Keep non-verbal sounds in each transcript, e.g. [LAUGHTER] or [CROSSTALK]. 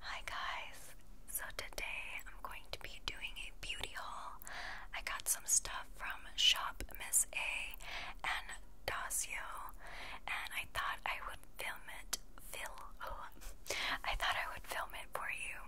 Hi guys, so today I'm going to be doing a beauty haul. I got some stuff from Shop Miss A and Dacio, and I thought I would film it [LAUGHS] for you.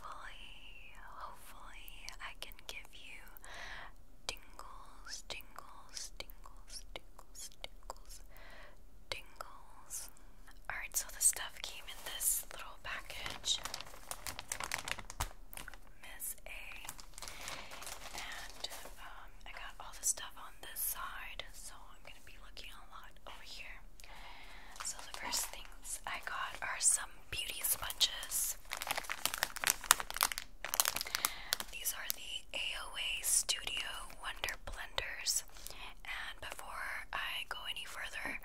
hopefully, hopefully, I can give you tingles, tingles, tingles, tingles, tingles, tingles. Alright, so the stuff came in this little package. Miss A. And um, I got all the stuff on this side, so I'm gonna be looking a lot over here. So the first things I got are some beauty sponges. These are the AOA Studio Wonder Blenders. And before I go any further,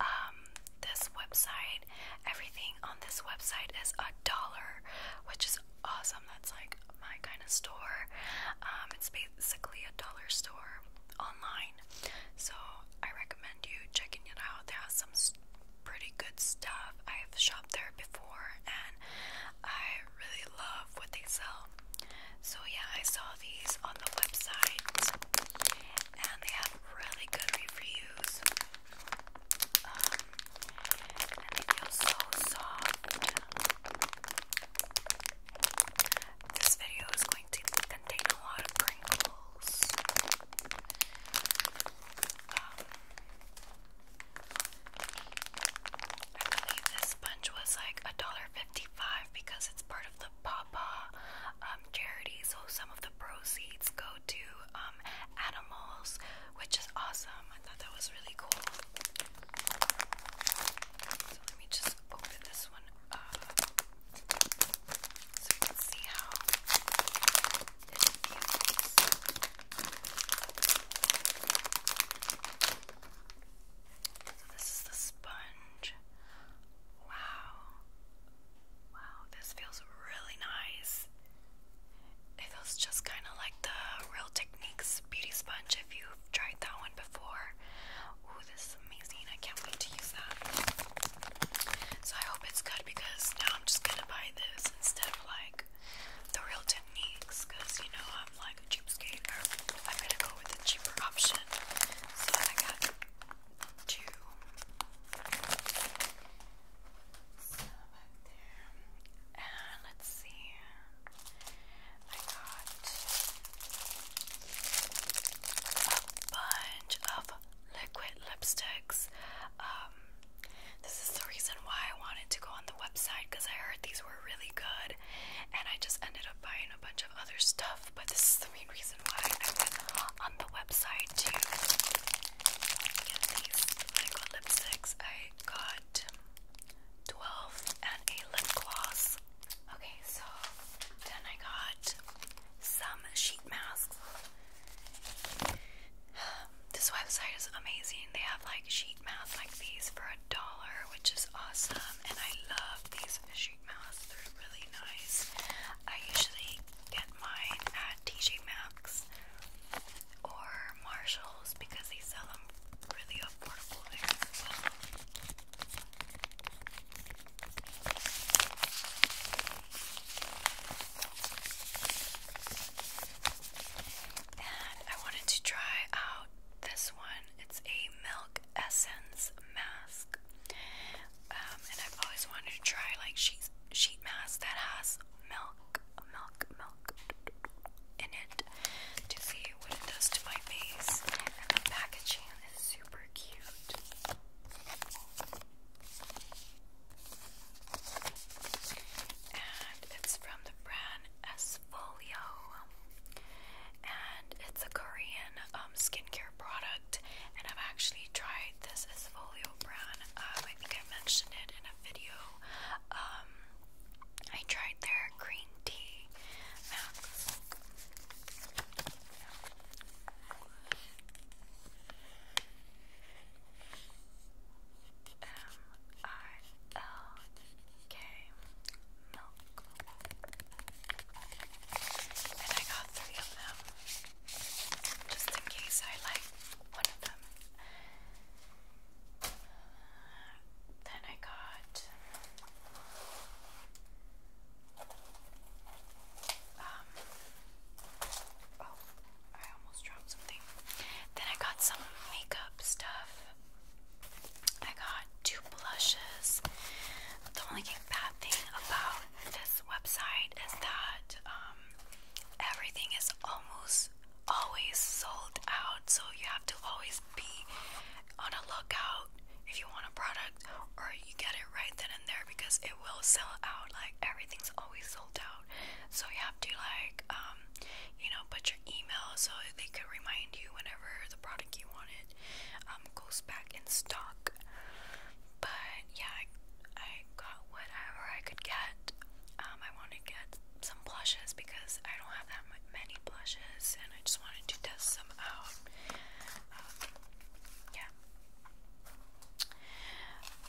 um, this website, everything on this website is a dollar, which is awesome. That's like my kind of store. Um, it's basically a dollar store online. So I recommend you checking it out. They have some pretty good stuff. I've shopped there before and I really love what they sell. So, yeah, I saw these on the website and they have really good reviews. Um, and they feel so soft. This video is going to contain a lot of crinkles. I believe this sponge was like $1.55 because it's part of the Papa um, charity, so some of the proceeds go to um, animals, which is awesome. I thought that was really cool. So let me just open this one up so you can see how it fuses. So this is the sponge. Wow. Wow, this feels really nice. It feels just kind of like the Real Techniques Beauty Sponge if you've tried that one before. Ooh, this is amazing. I can't wait to use that. So I hope it's good because now I'm just gonna buy this instead of like the real techniques because you know I'm like a cheap skater. I'm gonna go with the cheaper option. So I got two. And let's see. I got a bunch of liquid lipsticks. Um, this is the reason why I wanted to go on the website because I heard these were really good, and I just ended up buying a bunch of other stuff. But this is the main reason why I went on the website to get these liquid like, lipsticks. I got 12 and a lip gloss. Okay, so then I got some sheet masks. [SIGHS] This website is amazing. They have like sheet masks like these for a dollar, which is awesome. And I love these sheet masks, they're really nice. I usually get mine at TJ Maxx or Marshalls because they sell them really affordable and I wanted to try out this one. It's a milk essence mask. Um, and I've always wanted to try like sheet sheet mask that has milk, milk, milk in it to see what it does to my face. And the packaging is super cute. And it's from the brand Esfolio. And it's a Korean um, skincare product. And I've actually tried this Esfolio brand. Um, I think I mentioned it in a video. Um, I tried their green tea mask. M-I-L-K milk. And I got three of them just in case I like one of them. Uh, then I got um oh I almost dropped something. Then I got some makeup stuff. I got two blushes. The only bad thing about this website is that um, everything is almost always sold out, so you have to always be on a lookout if you want a product or you get it right then and there because it will sell out. Like everything's always sold out. So you have to like um you know put your email so they could remind you whenever the product you wanted um goes back in stock. But yeah, I, I got whatever I could get. Um I wanted to get some blushes because I don't have that many blushes and I just wanted to test some out. Um, yeah,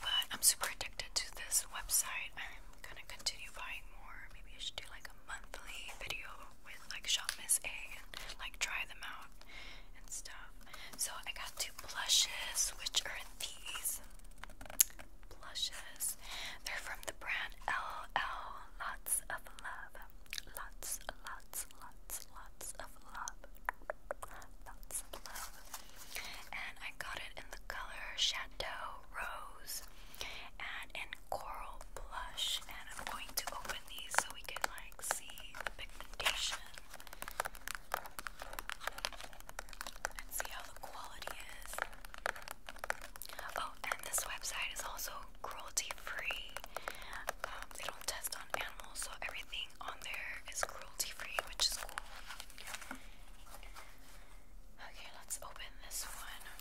but I'm super addicted to this website. I'm gonna continue buying more. Maybe I should do like a monthly video with like Shop Miss A and like try them out and stuff. So I got two blushes, which are these blushes. They're from the brand LL Lots of Love. Lots, lots, lots, lots of love. Lots of love. And I got it in the color Chateau Rose and in Coral Blush. And I'm going to open these so we can like see the pigmentation. And see how the quality is. Oh, and this website is also cruelty free. Um, they don't test on animals, so everything on there is cruelty free, which is cool. Okay, let's open this one. Um,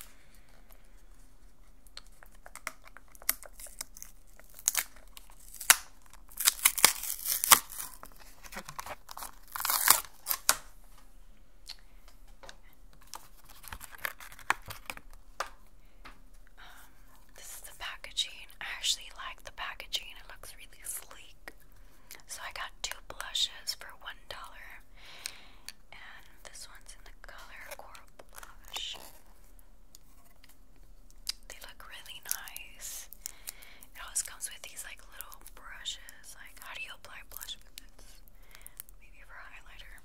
this is the packaging. I actually like the packaging. It looks really sleek. So I got two blushes for one dollar, and this one's in the color coral blush. They look really nice. It always comes with these like little brushes. Like, how do you apply blush with this? Maybe for highlighter.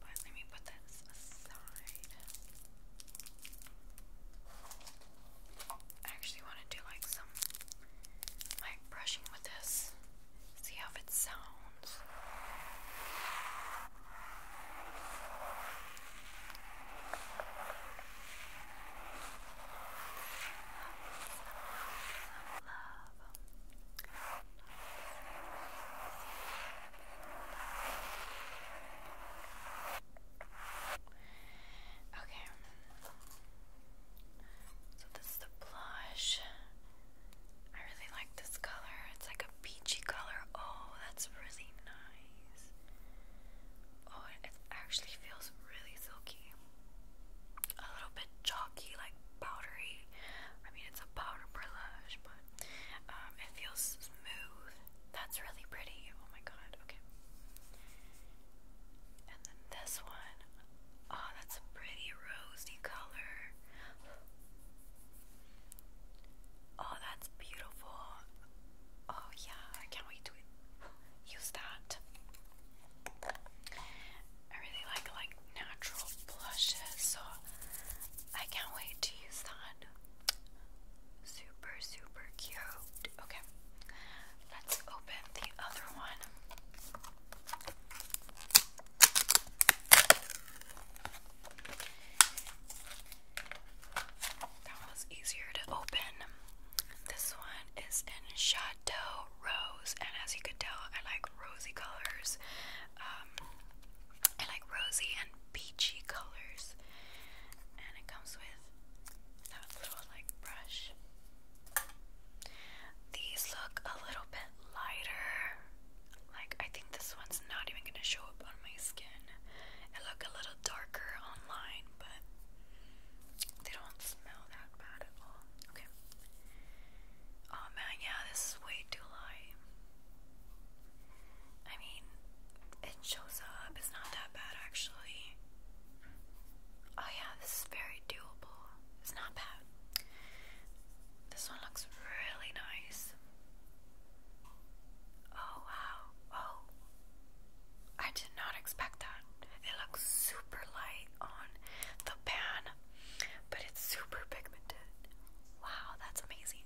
But let me put this aside. I actually want to do like some like brushing with this, see how it sounds. Okay. So this is the blush. I really like this color. It's like a peachy color. Oh, that's really nice. Oh, it actually feels really silky. A little bit chalky, like powdery. I mean, it's a powder blush, but um, it feels smooth. That's really pretty. Oh my god. Okay. And then this one. Oh, that's a pretty rosy color. Oh, that's beautiful. Oh, yeah, I can't wait to use that. I really like like natural blushes, so I can't wait to use that. Super, super cute. Okay, let's open the other one. That was easier to open. This one is in Chateau Rose, and as you can tell, I like rosy colors. Um, I like rosy and peachy colors, and it comes with that little like brush. These look a little bit lighter. Like I think this one's not even gonna show up on my skin. It look a little darker online, but they don't smell that bad at all. Okay. Oh man, yeah, this is way too light. I mean, it shows up. It's not that bad actually. Oh yeah, this is very doable. It's not bad. This one looks really nice. Oh wow. Oh. I did not expect that. It looks super light on the pan, but it's super pigmented. Wow, that's amazing.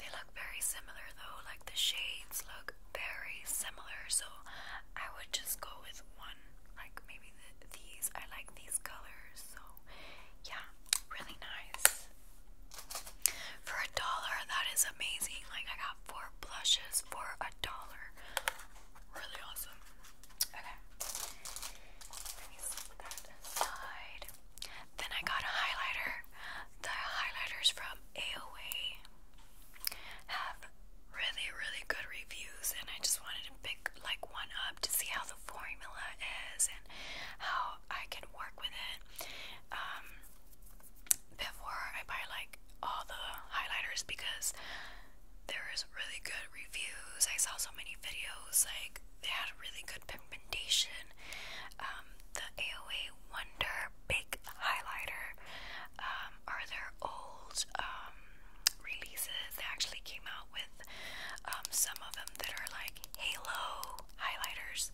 They look very similar though, like the shades look very similar, so I would just go with one, like maybe these. I like these colors, so yeah, really nice. For a dollar, that is amazing. Like, I got four blushes for a dollar. Really awesome. Okay, let me set that aside. Then I got a highlighter. The highlighters from AOA have really, really good reviews, and I just wanted to pick like one up to see how the formula is and how I can work with it. Um, before I buy like all the highlighters because there is really good reviews. I saw so many videos like they had really good pigmentation um, the AOA Wonder Big Highlighter um, are their old um, releases. They actually came out with some of them that are like halo highlighters,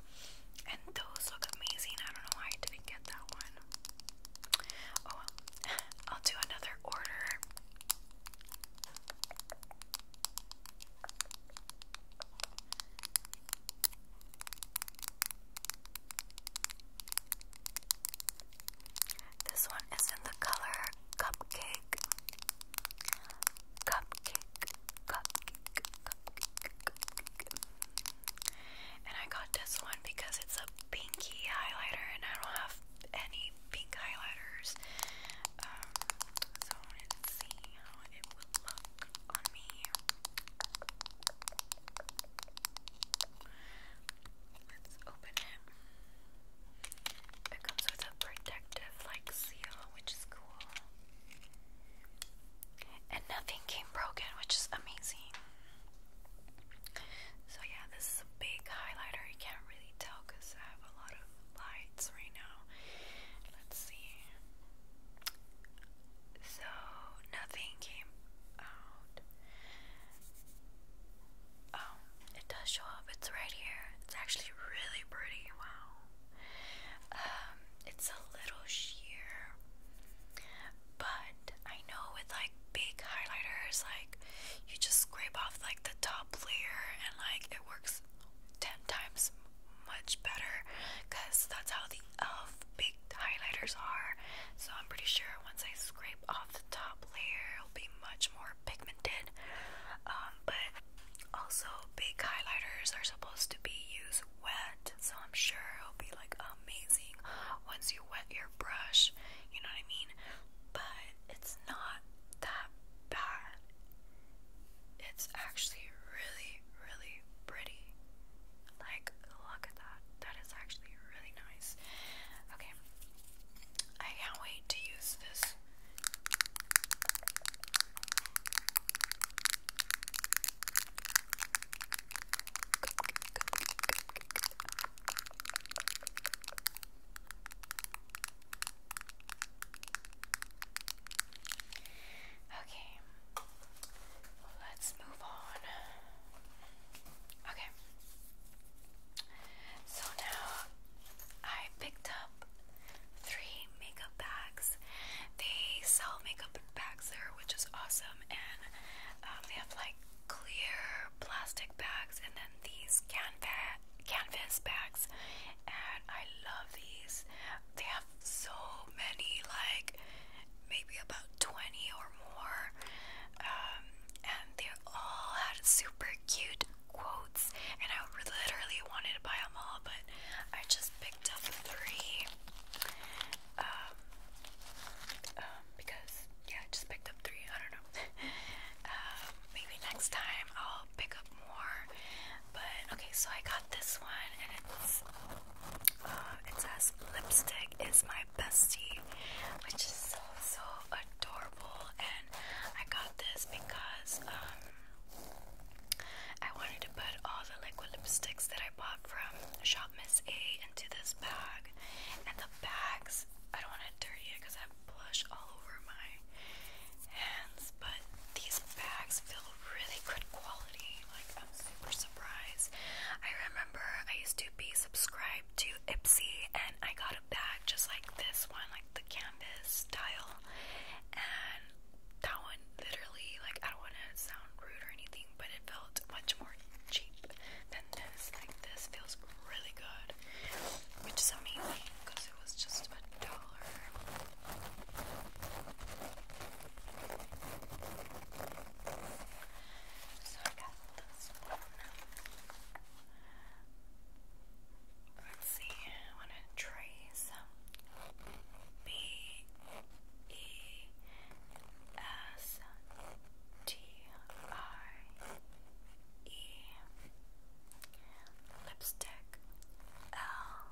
and those look amazing. I don't know why I didn't get that one. Oh [LAUGHS] I'll do another order. This one is in the color cupcake. Cupcake, cupcake, cupcake, And I got this one because it's a pinky highlighter and I don't have any pink highlighters. Um, so I wanted to see how it would look. Let's open it. It comes with a protective like seal, which is cool. And nothing came broken, which is amazing. So yeah, this is a big highlighter. You can't really tell because I have a lot of lights right now. Let's see so nothing came out. Oh, it does show up. It's right here. It's actually really pretty. Wow. Um, it's a little sheer, but I know with like big highlighters, like you just scrape off like the top layer, and like it works ten times much better because that's how the e.l.f. big highlighters are. So I'm pretty sure once I scrape off the top layer, it'll be much more pigmented. Um, but also, big highlighters are supposed to be used wet, so I'm sure it'll be like amazing once you wet your brush, you know what I mean? But it's not that bad. It's actually really really, pretty. Like, look at that. That is actually really nice. Okay. I can't wait to use this. Okay, Let's move on. Okay. So now I picked up three makeup bags. They sell makeup bags there, which is awesome, and um, they have like clear plastic bags and then these canvas canvas bags, and I love these. They have so many, like maybe about 20 or more, um, and they all had super cute quotes. And I literally wanted to buy them all, but I just picked up three. Um, um, because yeah, I just picked up three. I don't know. [LAUGHS] um, maybe next time I'll pick up more. But okay, so I got this one, and it's uh, it says lipstick is my bestie, which is so so adorable. And I got this because um, I wanted to put all the liquid lipsticks that I bought from Shop Miss A into this bag. And the bags, I don't want to dirty it because I have blush all over my hands, but these bags feel really good quality. Like, I'm super surprised. I remember I used to be subscribed to Ipsy, and I got a bag just like this one, like the canvas style. And that one literally, like, I don't want to sound rude or anything, but it felt much more cheap than this. Like, this feels really good, which is amazing because it was just a dollar. So I got this one. Let's see, I want to trace B E S T I E lipstick L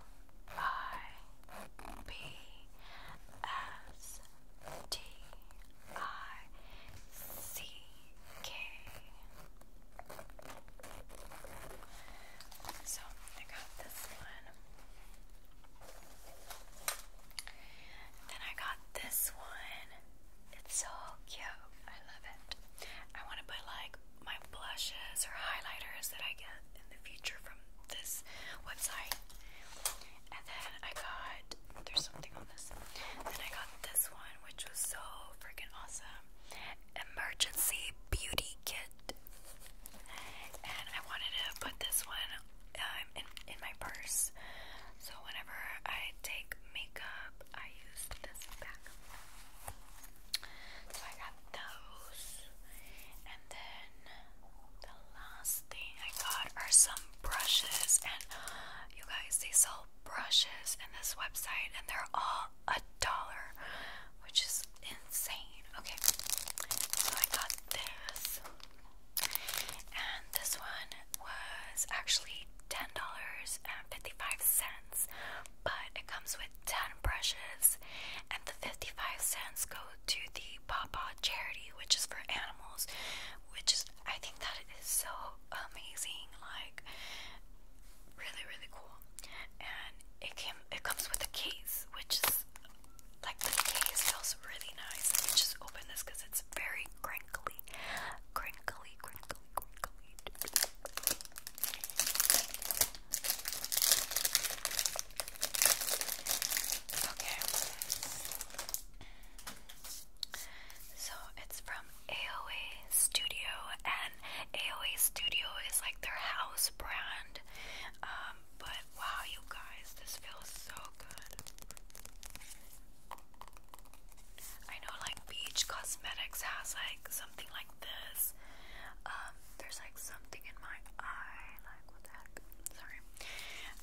I B S T I C K. So I got this one. Then I got this one. It's so cute. I love it. I want to put like my blushes or highlighters that I get in the future from this website. And then I got, there's something on this. Then I got this one, which was so freaking awesome. Emergency Beauty Kit. And I wanted to put this one um, in, in my purse. So whenever I take makeup, I use this bag. So I got those. And then the last thing I got are some brushes, and you guys, they sell brushes in this website, and they're all a dollar, which is insane. Okay, so I got this, and this one was actually ten dollars and fifty-five cents, but it comes with ten brushes, and the fifty-five cents go to the Pawpaw charity, which is for animals, which is I think that is so amazing, like really really cool. And it came it comes with a case, which is like the case feels really nice. just open this because it's very crinkly, crinkly, crinkly, crinkly. Okay. So it's from AOA Studio, and AOA Studio is like their house brand. Um, but wow, you guys, this feels so good. I know like Beach Cosmetics has like something like this. Um, there's like something in my eye. Like, what the heck? Sorry.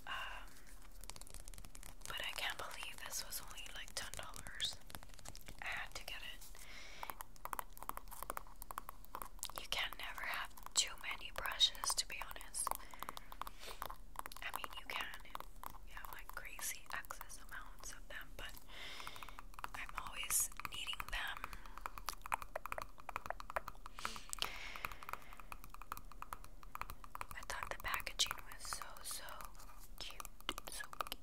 Um, but I can't believe this was only like ten dollars. I had to get it. You can never have too many brushes, to be honest. I mean, you can. You have like crazy excess amounts of them, but I'm always needing them. I thought the packaging was so, so cute. So cute.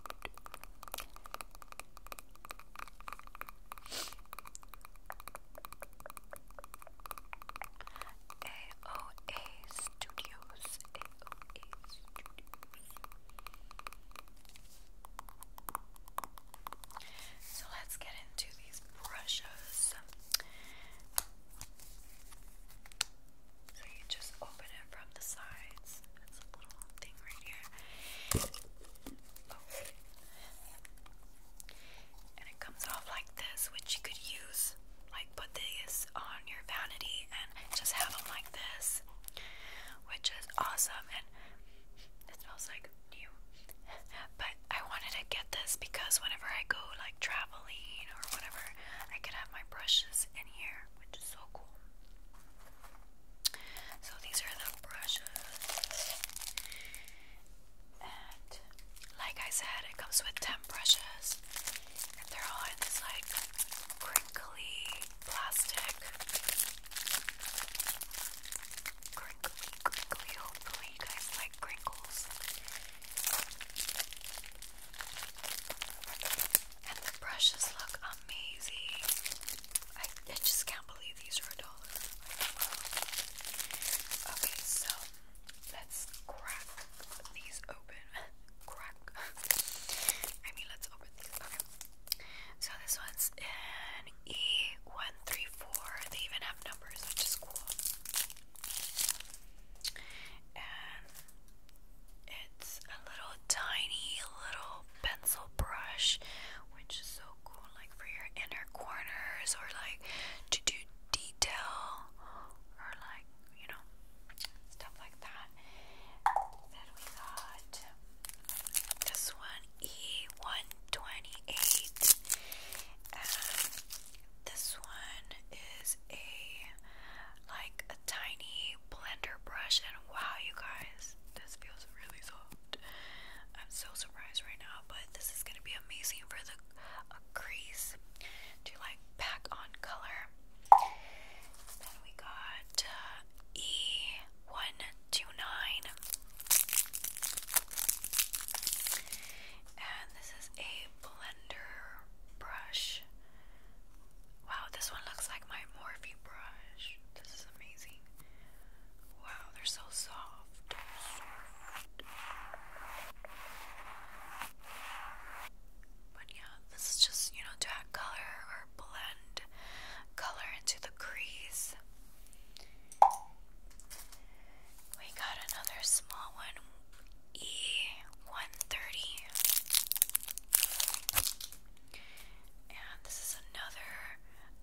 AOA Studios. So let's get into these brushes. So you just open it from the sides. It's a little thing right here. And it comes off like this, which you could use, like put this on your vanity and just have them like this, which is awesome. And it smells like new. but I wanted to get this because whenever I go like traveling or whatever, I could have my brushes in here, which is so cool. So these are the brushes. And like I said, it comes with 10 brushes. And they're all in this like crinkly plastic crinkly, crinkly. Hopefully, you like crinkles. And the brushes look amazing. I, just can't believe these are a dollar. Okay, so let's crack these open. crack. I mean, let's open these. So this one's in E134. They even have numbers, which is cool. And it's a little tiny little pencil brush, which is so cool, like for your inner corners or like to do detail or like, you know, stuff like that. Then we got this one, E1 28. Um, this one is a like a tiny blender brush, and wow, you guys, this feels really soft. I'm so surprised right now, but this is gonna be amazing for the a crease to like pack on color. Then we got uh, E129 and this is a blender brush. Wow, this one looks like my Morphe brush. This is amazing. Wow, they're so soft. But yeah, this is just, you know, to add color or blend color into the crease. We got another small one, E130. And this is another,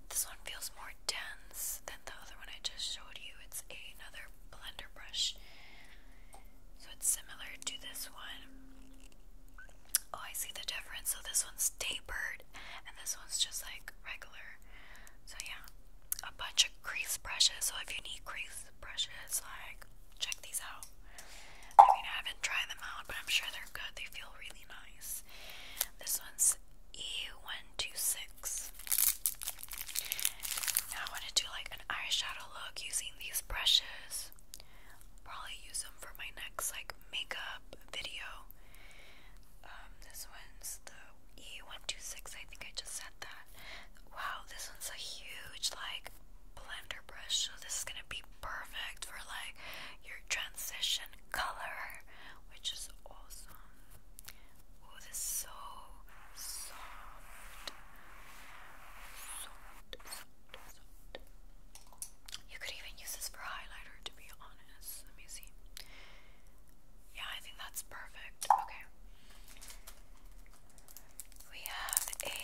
this one feels more dense than the other one I just showed you. It's another blender brush. So it's similar to this one. Oh, I see the difference. So this one's tapered and this one's just like regular. So yeah, a bunch of like crease brushes. So if you need crease brushes, like check these out. I mean, I haven't tried them out, but I'm sure they're good. They feel really nice. This one's E126. I want to do like an eyeshadow look using these brushes. I'll probably use them for my next like makeup video. Um, this one's the E126, I think I just said that. Wow, this one's a huge, like, blender brush, so this is gonna be perfect for, like, your transition color, which is awesome. Oh, this is so soft. You could even use this for highlighter, to be honest. Let me see. Yeah, I think that's perfect. Okay. We have a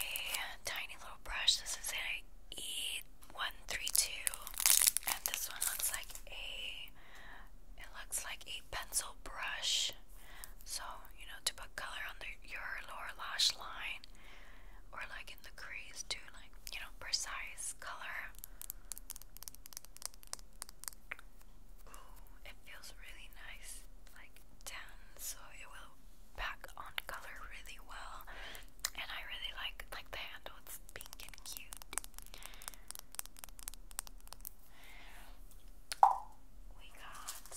tiny little brush. This is an 132 And this one looks like a it looks like a pencil brush. So, you know, to put color on the, your lower lash line or like in the crease to like, you know, precise color. Ooh, it feels really nice, like tan, so it will pack on color really well. And I really like like the handle; it's pink and cute. We got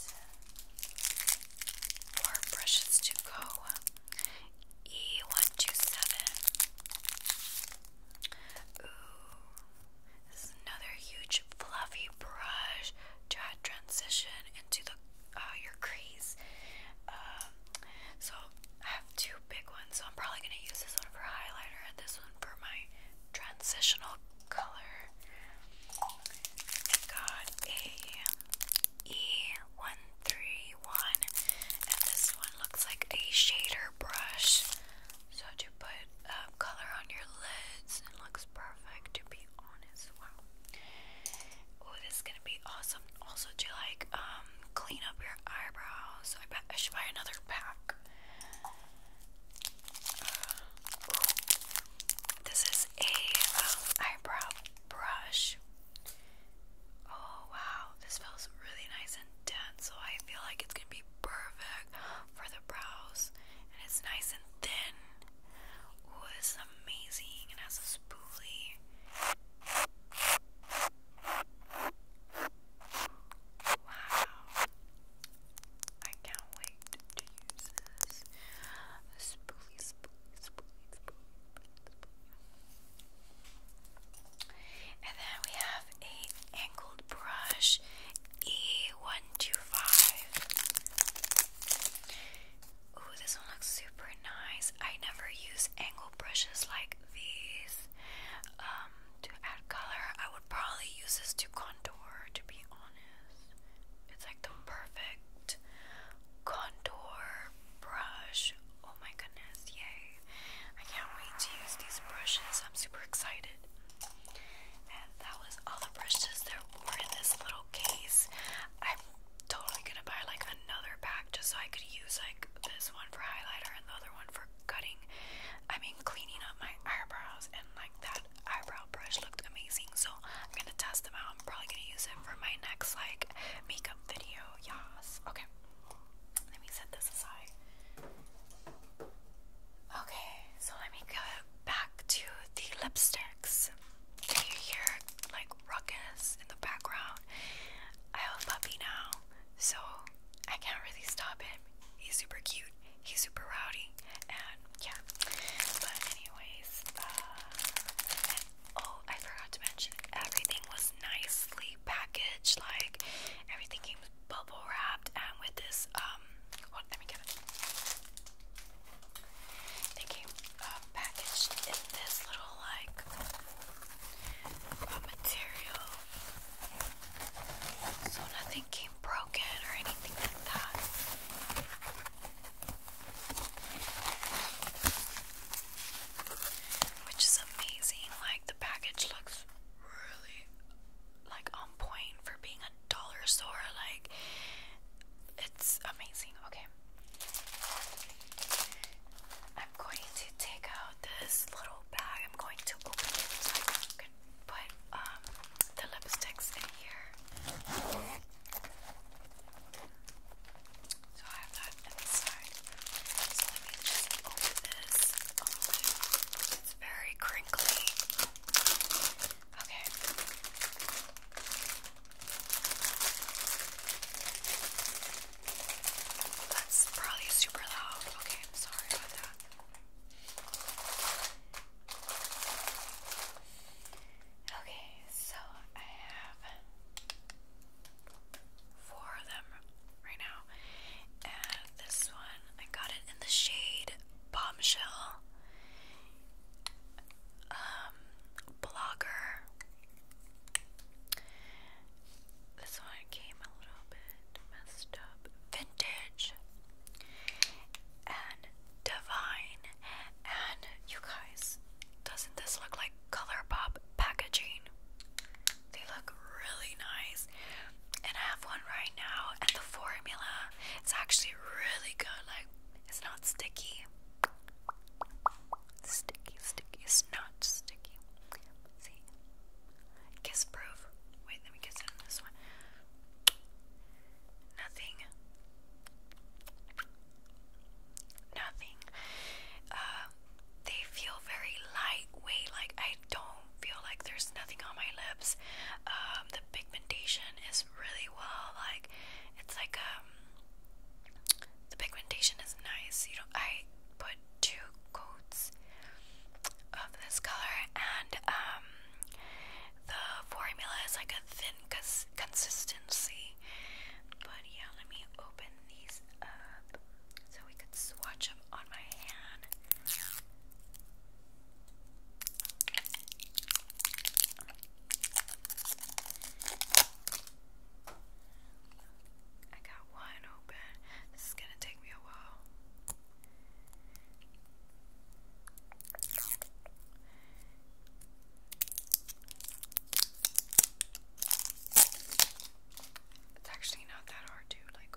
more brushes to go. E one two seven. Ooh, this is another huge fluffy brush to transition into the uh, your crease. Um, so I have two big ones, so I'm probably gonna use this one for highlighter and this one for my transitional color. I got a E131, and this one looks like a shader brush. So to put uh, color on your lids, it looks perfect to be honest. Wow. Oh, this is gonna be awesome. Also to like um, clean up your eyebrows. I bet I should buy another pack. this is a um, eyebrow brush. Oh wow, this feels really nice and dense, so I feel like it's gonna be perfect for the brows, and it's nice and thin. Ooh, it's amazing. It has a spoolie. Wow. I can't wait to use this. Spoolie, spoolie, spoolie, spoolie, spoolie, spoolie. And then we have a angled brush E125. Ooh, this one looks super nice. I never use angled brushes like these um, to add color. I would probably use this to contour, to be honest. It's like the perfect contour brush. Oh my goodness, yay. I can't wait to use these brushes. I'm super excited. And that was all the brushes there were in this little case. I'm totally gonna buy like another pack just so I could use like this one for highlighter and the other one for cutting. I mean, cleaning up my eyebrows, and like that eyebrow brush looked amazing. So I'm gonna test them out. I'm probably gonna use it for my next like makeup video. Yes. Okay let me set this aside. Okay, so let me go back to the lipsticks. Can you hear like ruckus in the background? I have a puppy now, so I can't really stop him. He's super cute, he's super rowdy, and yeah. But, anyways, uh, oh, I forgot to mention everything was nicely packaged, like everything came bubble wrapped and with this, um, let me get it. It came uh, packaged in this little, like, material. So nothing came broken or anything like that. Which is amazing. Like, the package looks really like on point for being a dollar store. Like it's amazing. Okay. I'm going to take out this little bag. I'm going to open it so I can put um the lipsticks in here. So I have that inside. So let me just open this. Oh, it's very crinkly. Okay. That's probably super loud. Okay, I'm sorry about that. Okay, so I have four of them right now. And this one, I got it in the shade Bombshell um, Blogger. This one came a little bit messed up. Vintage and divine. And you guys, doesn't this look like ColourPop packaging? They look really nice. And I have one right now, and the formula is actually really good. Like, it's not sticky. Sticky, sticky. It's not sticky. see? Kiss proof. Wait, let me kiss on this one. Nothing. Nothing. Uh, they feel very lightweight. Like, I I don't feel like there's nothing on my lips. Um, the pigmentation is really well, like it's like um, the pigmentation is nice. You know, I put two coats of this color, and um, the formula is like a thin consistency. But yeah, let me open these up so we could swatch them on my hand. I got one open. This is going to take me a while. It's actually not that hard to like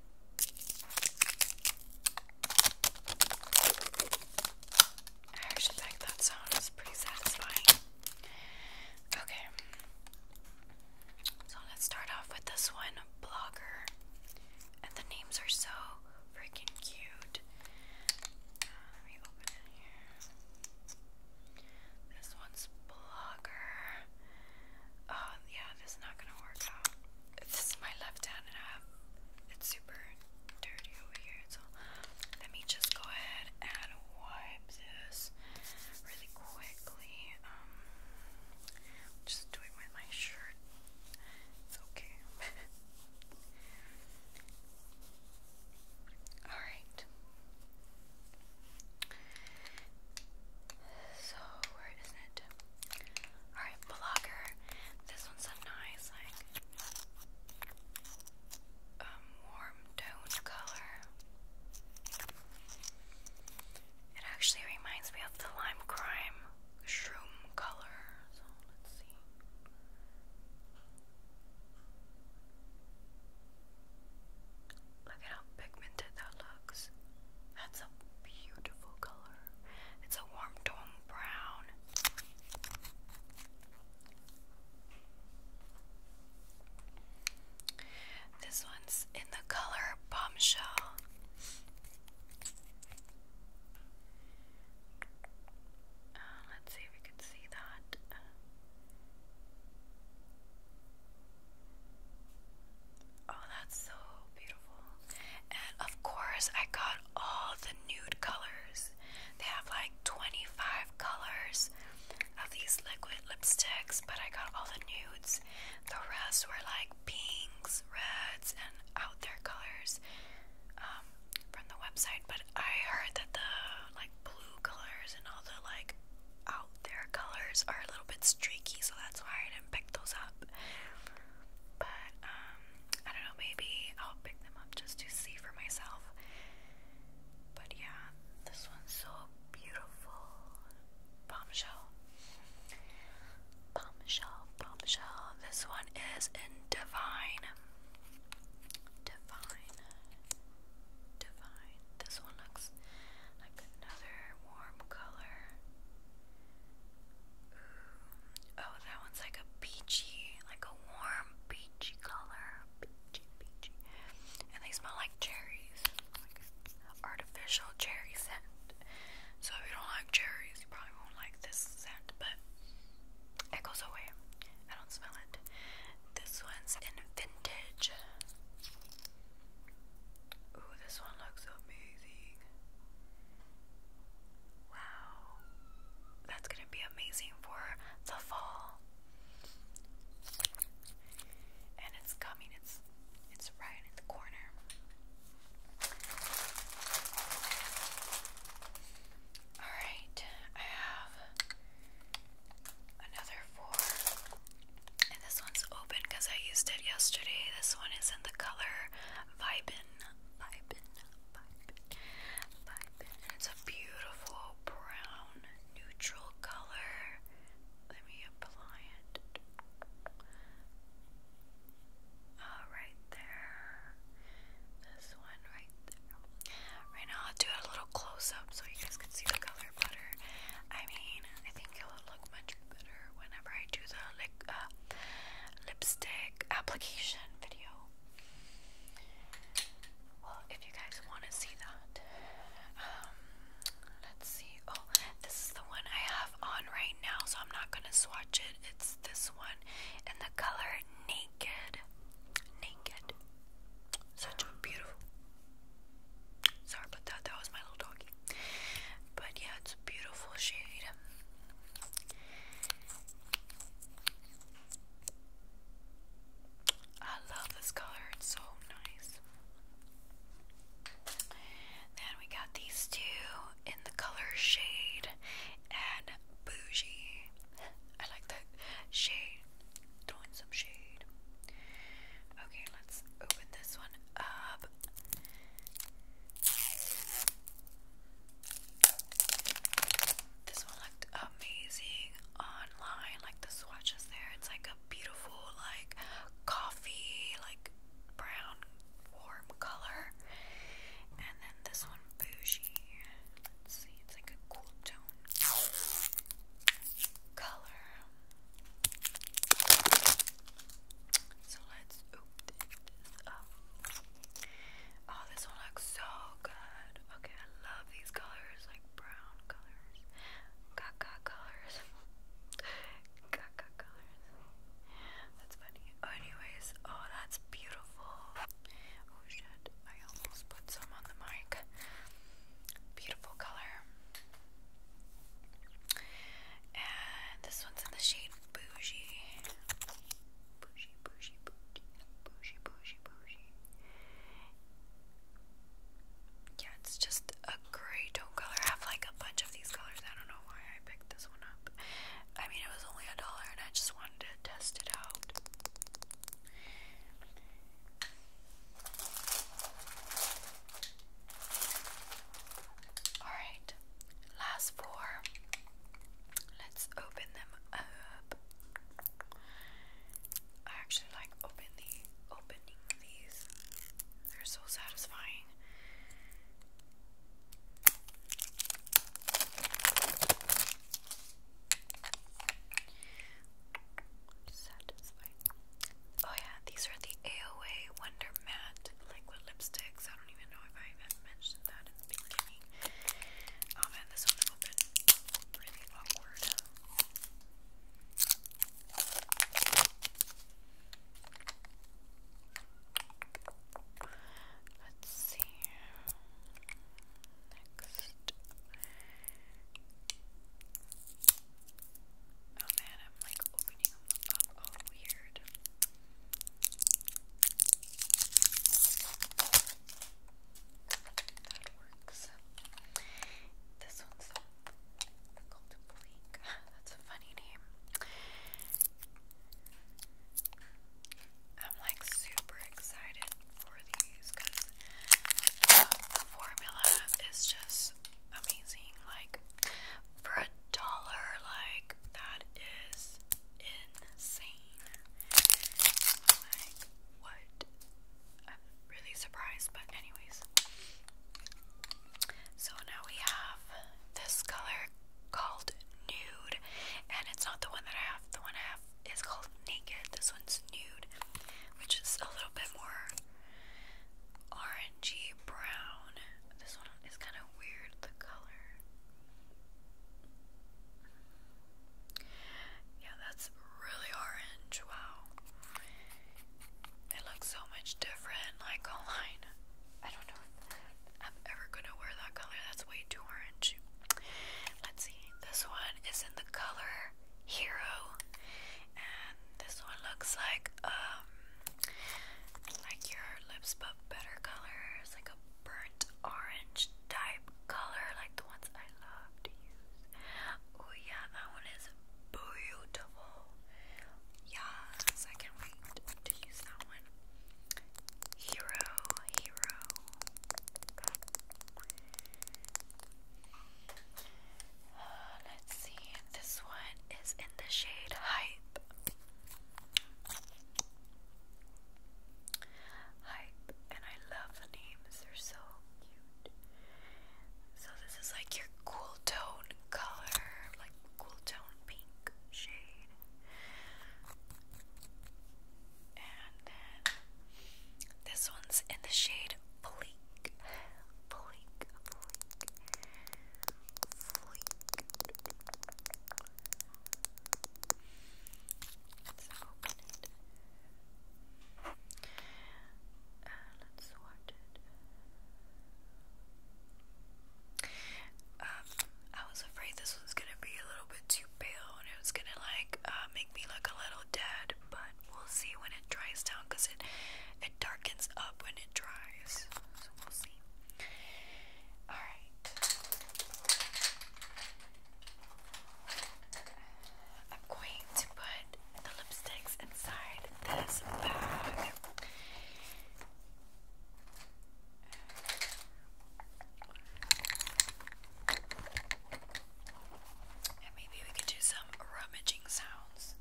I actually think that sound pretty satisfying. Okay. So let's start off with this one, Blogger. And the names are so freaking cute. let me open it here. This one's Blogger. Oh, yeah, this is not gonna work out this is my left hand and I have, it's super dirty over here. So let me just go ahead and wipe this really quickly. Um, just do with my shirt. It's okay. [LAUGHS] Alright. So, where is it? Alright, Blocker. This one's a nice, like, um, warm tone color. It actually reminds me of the Lime Crime Shroom color. let's see. Look at how pigmented that looks. That's a beautiful color. It's a warm tone brown. This one's in the color Bombshell. Uh, let's see if we can see that. Oh, that's so beautiful. And of course, I got all the nude colors. They have like 25 colors of these liquid lipsticks, but I got all the nudes. The rest were like pinks, reds, and out there colors um, from the website. But I heard that the like blue colors and all the like out there colors are a little bit streaky, so that's why I didn't pick those but um, I don't know, maybe I'll pick them up just to see for myself. But yeah, this one's so beautiful. Bombshell. Bombshell, bombshell. This one is in Divine. Divine. Divine. This one looks like another warm color. Ooh. Oh, that one's like a peachy, like a warm peachy color. Peachy, peachy. And they smell like cherries. Like artificial cherry scent. So if you don't like cherries, you probably won't like this scent, but it goes away. I don't smell it. This one's in vintage. Ooh, this one looks amazing. Wow. That's gonna be amazing for the fall. And it's coming, it's it's right in the corner. Alright, I have another four. And this one's open because I used it yesterday. This one is in the color Vibin, Vibin, Vibin, Vibin. It's a beautiful brown neutral color. Let me apply it. right there. This one right there. Right now, I'll do a little close up so you guys can see the color better. I mean, I think you'll look much better whenever I do the like uh, lipstick application video. Well, if you guys want to see that, um, let's see. Oh, this is the one I have on right now, so I'm not gonna swatch it. It's this one in the color Naked. Naked. Such a beautiful. Sorry about that. That was my little dog. But yeah, it's a beautiful shade. I love this color, it's so nice. Then we got these two in the color shade and bougie. I like that shade. Throwing some shade. Okay, let's open this one up. This one looked amazing online, like the swatches there. It's like a beautiful, like coffee, like brown, warm color. And then this one, bougie. Let's see, it's like a cool tone color. So let's this Oh, this one looks so good. Okay, I love these colors, like brown colors, caca colors, caca [LAUGHS] colors. That's funny. anyways, oh, that's beautiful. Oh shit, I almost put some on the mic. Beautiful color. And this one's in the shade yeah, it's just a gray tone color. I have like a bunch of these colors. I don't know why I picked this one up. I mean, it was only a dollar and I just wanted to test it out. Alright, last four. Let's open them up. I actually like open the opening these. They're so satisfying. Satisfying. Oh yeah, these are the AOA Wonder Matte liquid lipsticks don't even know if I even mentioned that in the beginning. Oh man, this one would have been really awkward. Let's see. Next. Oh man, I'm like opening up all oh, weird. That works. This one's the Golden Bleak. [LAUGHS] That's a funny name. I'm like super excited for these because uh, the formula is just amazing. Like for a dollar, like that is insane. Like, what? really surprised, but, anyways. So now we have this color called Nude, and it's not the one that I have. The one I have is called Naked. This one's Nude, which is a little bit more orangey brown. This one is kind of weird, the color. Yeah, that's really orange. Wow. It looks so much different, like online. I don't know if i ever gonna wear that color. That's way too orange. Let's see. This one is in the color Hero, and this one looks like um like your lips, but better colors, like a burnt orange type color, like the ones I love to use. Oh yeah, that one is beautiful. Yes, I can't wait to use that one. Hero, hero. Uh, let's see. This one is in the shade Hype hype, and I love the names, they're so cute. So, this is like your cool tone color, like cool tone pink shade. And then this one's in the shade Bleak. Bleak, bleak, um, I was afraid this was gonna be a little bit too pale and it was gonna like uh, make me look a little dead, but we'll see when it dries down because it it darkens up when it it dries. So we'll see. Alright. I'm going to put the lipsticks inside this bag. And maybe we could do some rummaging sounds.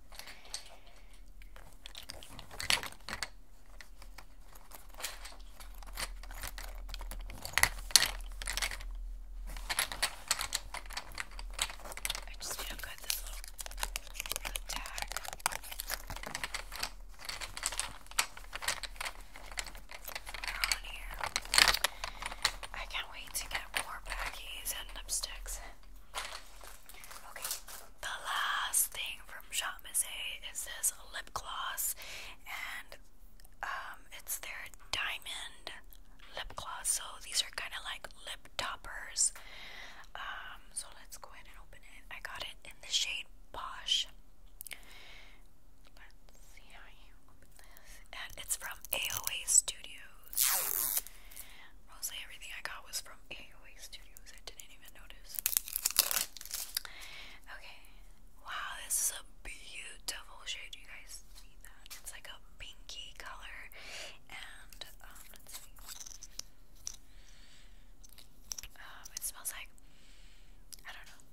I just feel good this little tag. They're on here. I can't wait to get more baggies and lipsticks. Okay, the last thing from Shop Misset is this lip gloss, and um, it's their diamond lip gloss. So these are kind of like lip toppers. Um, so let's go ahead and open it. I got it in the shade Posh. Let's see how you open this. And it's from AOA Studios. Mostly everything I got was from Studios. I didn't even notice. Okay. Wow, this is a beautiful shade. You guys It's like a pinky color. And, um, um, it smells like, I don't know.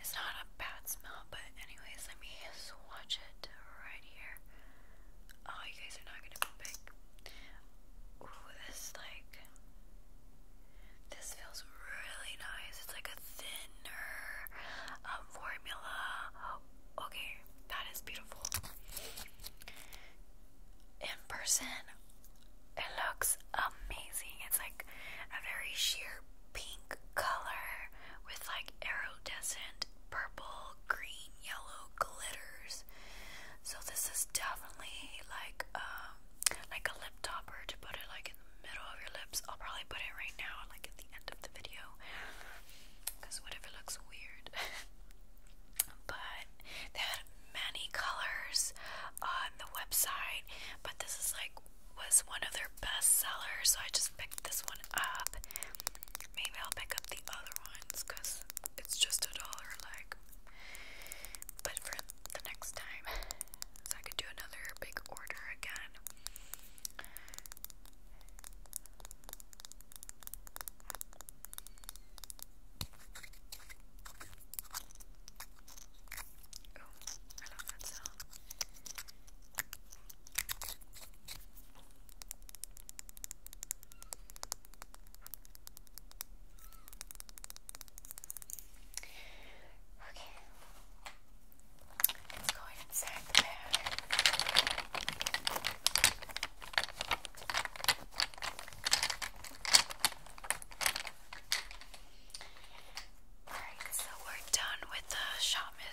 It's not a bad smell, but anyways, let me swatch it right here. Oh, you guys are not gonna be big. Ooh, this like this feels really nice. It's like a thinner um, formula. okay, that is beautiful. In person, it looks amazing. It's like a very sheer pink color with like iridescent purple, green, yellow glitters. So this is definitely like um, like a lip topper to put it like in the middle of your lips. I'll probably put it right now, like at the end of the video, because whatever looks weird? [LAUGHS] but they had many colors on the website, but this is like was one of their best sellers, so I just picked this one up. Maybe I'll pick up the other ones because it's just a dollar less like. But for the next time, I could do another big order again. I love that sound. Okay. Let's go ahead the bag. Alright, so we're done with the Shop A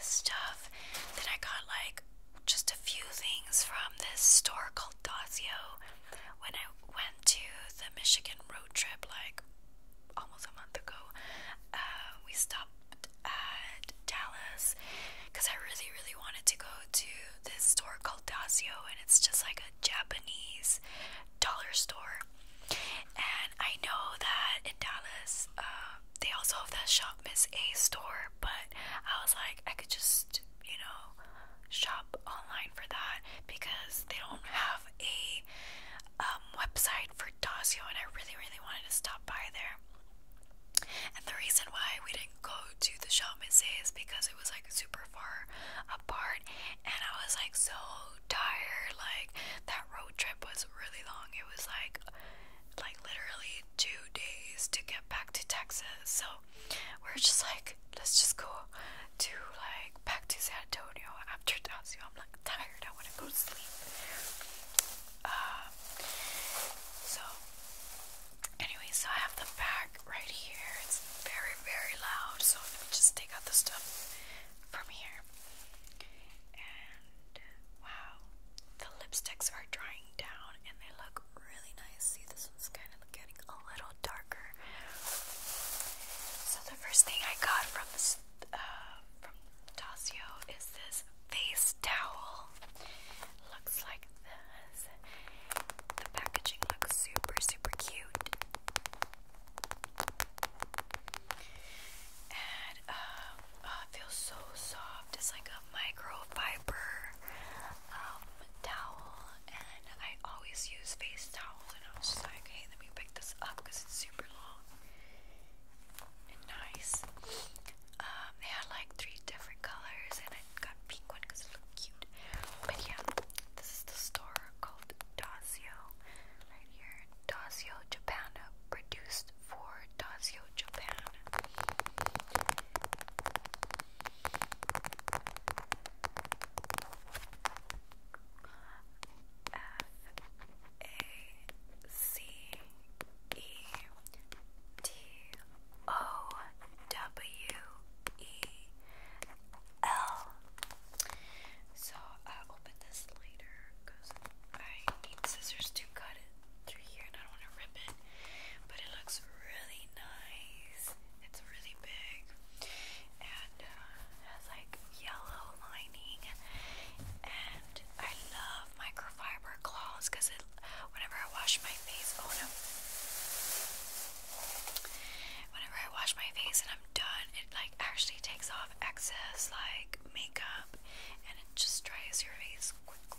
stuff. Then I got like just a few things from this store called Dazio when I went to the Michigan road trip, like almost a month ago, uh, we stopped at Dallas because I really, really wanted to go to this store called Dazio, and it's just like a Japanese dollar store. And I know that in Dallas, uh, they also have that shop, Miss A store, but I was like, I could just, you know, shop online for that because they don't have a um, website for Dacio, and I really, really wanted to stop by there. And the reason why we didn't go to the Champs is because it was like super far apart, and I was like so tired. Like that road trip was really long. It was like, like literally two days to get back to Texas. So we're just like, let's just go to like back to San Antonio after Tazio. I'm like tired, I wanna go to sleep. Um, so anyway, so I have the bag right here. It's very, very loud, so let me just take out the stuff from here. And wow, the lipsticks are drying down and they look really nice. See, this one's kind of getting a little darker. So the first thing I got from this, uh, from Tasio is this face towel. Looks like this. The packaging looks super, super cute. And um, oh, feels so soft. It's like a microfiber um, towel and I always use face towels, and I was just like, hey, let me pick this up because it's super long and nice. Um, they had like three different colors and I got pink one because it looked cute. But yeah, this is the store called Dazio right here. Dazio Japan, produced for Dazio Japan. F A C E T O W E L. So I'll open this later because I need scissors to cut it through here and I don't want to rip it but it looks really nice. It's really big and uh, has like yellow lining. And I love microfiber cloths because it, whenever I wash my face, oh no, whenever I wash my face and I'm done, it like actually takes off excess like makeup and it just dries your face quickly.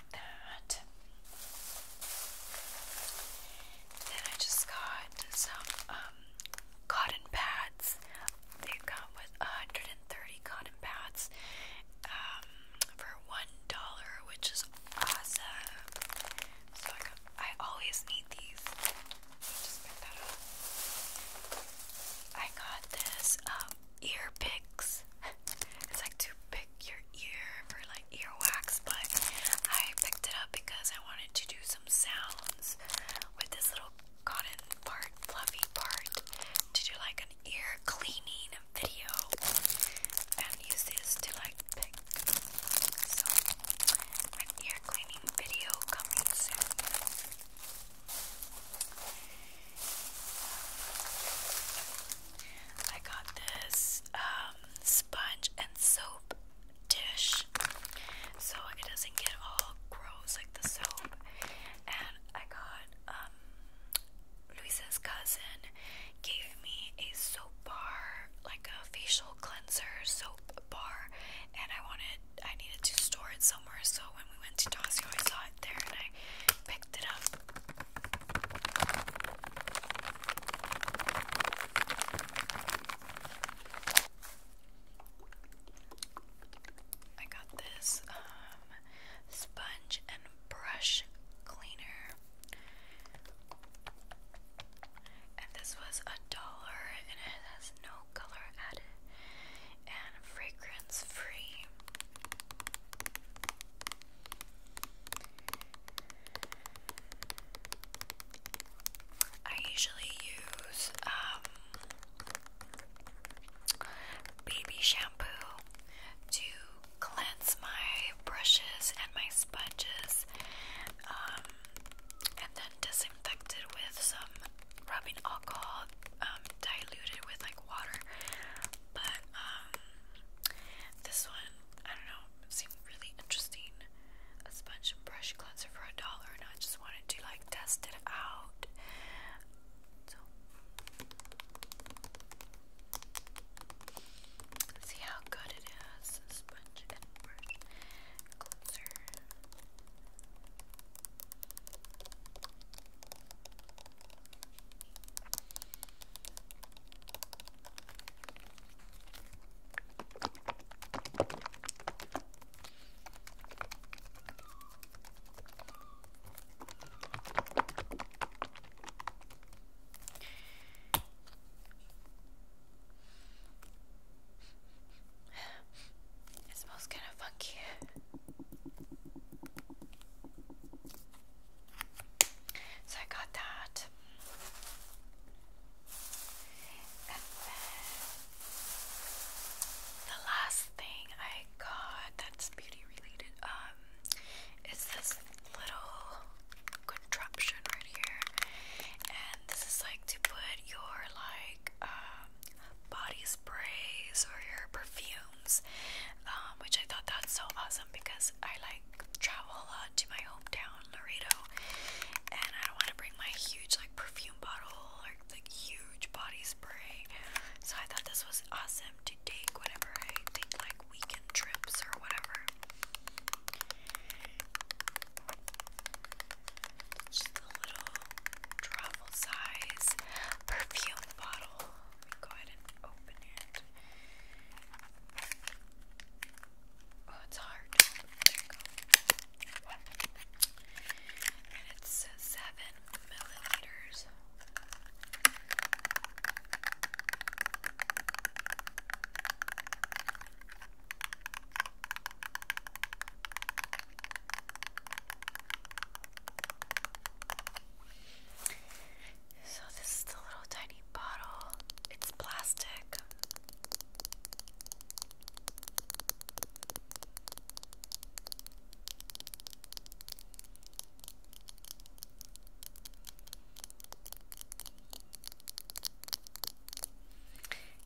that. Then I just got some um, cotton pads. They come with 130 cotton pads um, for one dollar, which is awesome. So I, always need these. I got this um, ear picks. [LAUGHS] it's like two big your ear for like earwax, but I picked it up because I wanted to do some sounds with this little cotton part, fluffy part, to do like an ear cleaning video and use this to like pick. So, ear cleaning video coming soon. I got this um, sponge and soap dish so it doesn't get all gross like the soap. And I got um, Luisa's cousin gave me a soap bar, like a facial cleanser soap bar, and I wanted I needed to store it somewhere. So when we went to Tasio, I saw it there and I picked it up. I got this um, sponge and brush cleaner, and this was a dollar, and it has no color added and fragrance free. I usually use um, baby shampoo to cleanse my brushes and my sponges, um, and then disinfect it with some rubbing alcohol um, diluted with like water. But this one I don't know, it seemed really interesting. A sponge and brush cleanser for a dollar, and I just wanted to like test it out. So, see how good it is. A sponge and brush cleanser. It smells kind of funky. So I got that. And then the last thing I got that's beauty related um is this little contraption right here. And this is like to put your like um, body sprays or your perfumes. Um, which I thought that's so awesome because I like travel a lot to my hometown, Laredo, and I don't want to bring my huge like perfume bottle or like huge body spray. So I thought this was awesome to take whenever I take like weekend trips or whatever. Just a little travel size perfume bottle. go ahead and open it. Oh, it's hard. There you go. seven milliliters. So this is the little tiny bottle. It's plastic.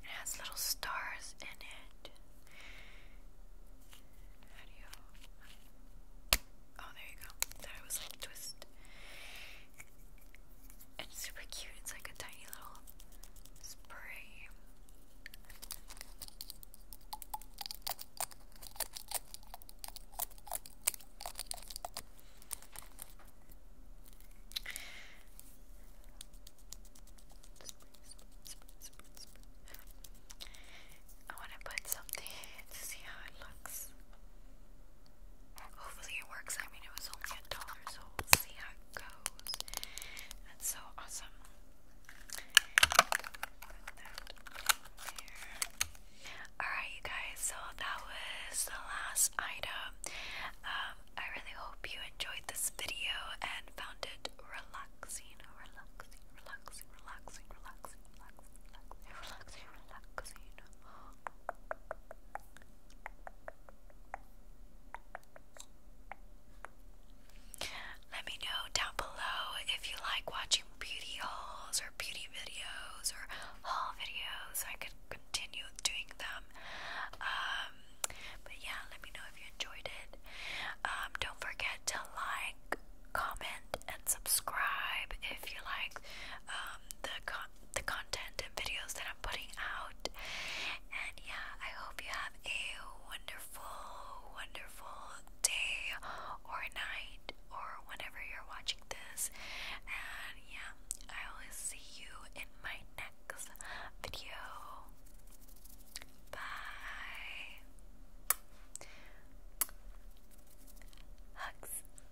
It has little stars in it. Oh, there you go. That was like twist. It's super cute. It's like a tiny little spray. I want to put something to see how it looks. Hopefully it works. I mean, it was only a dollar, so we'll see how it goes. That's so awesome. Alright, you guys, so that was the last item. Um, I really hope you enjoyed this video and found it relaxing, relaxing, relaxing, relaxing, relaxing, relaxing, relaxing, relaxing, let me know down below if you like watching beauty hauls or beauty videos or haul videos. I could continue doing them. Um, but yeah, let me know if you enjoyed it. Um, don't forget to like, comment, and subscribe if you like um, the con the content and videos that I'm putting out. And yeah, I hope you have a wonderful, wonderful day or night or whenever you're watching this. And yeah, I will see you in my next video. Bye. Hugs.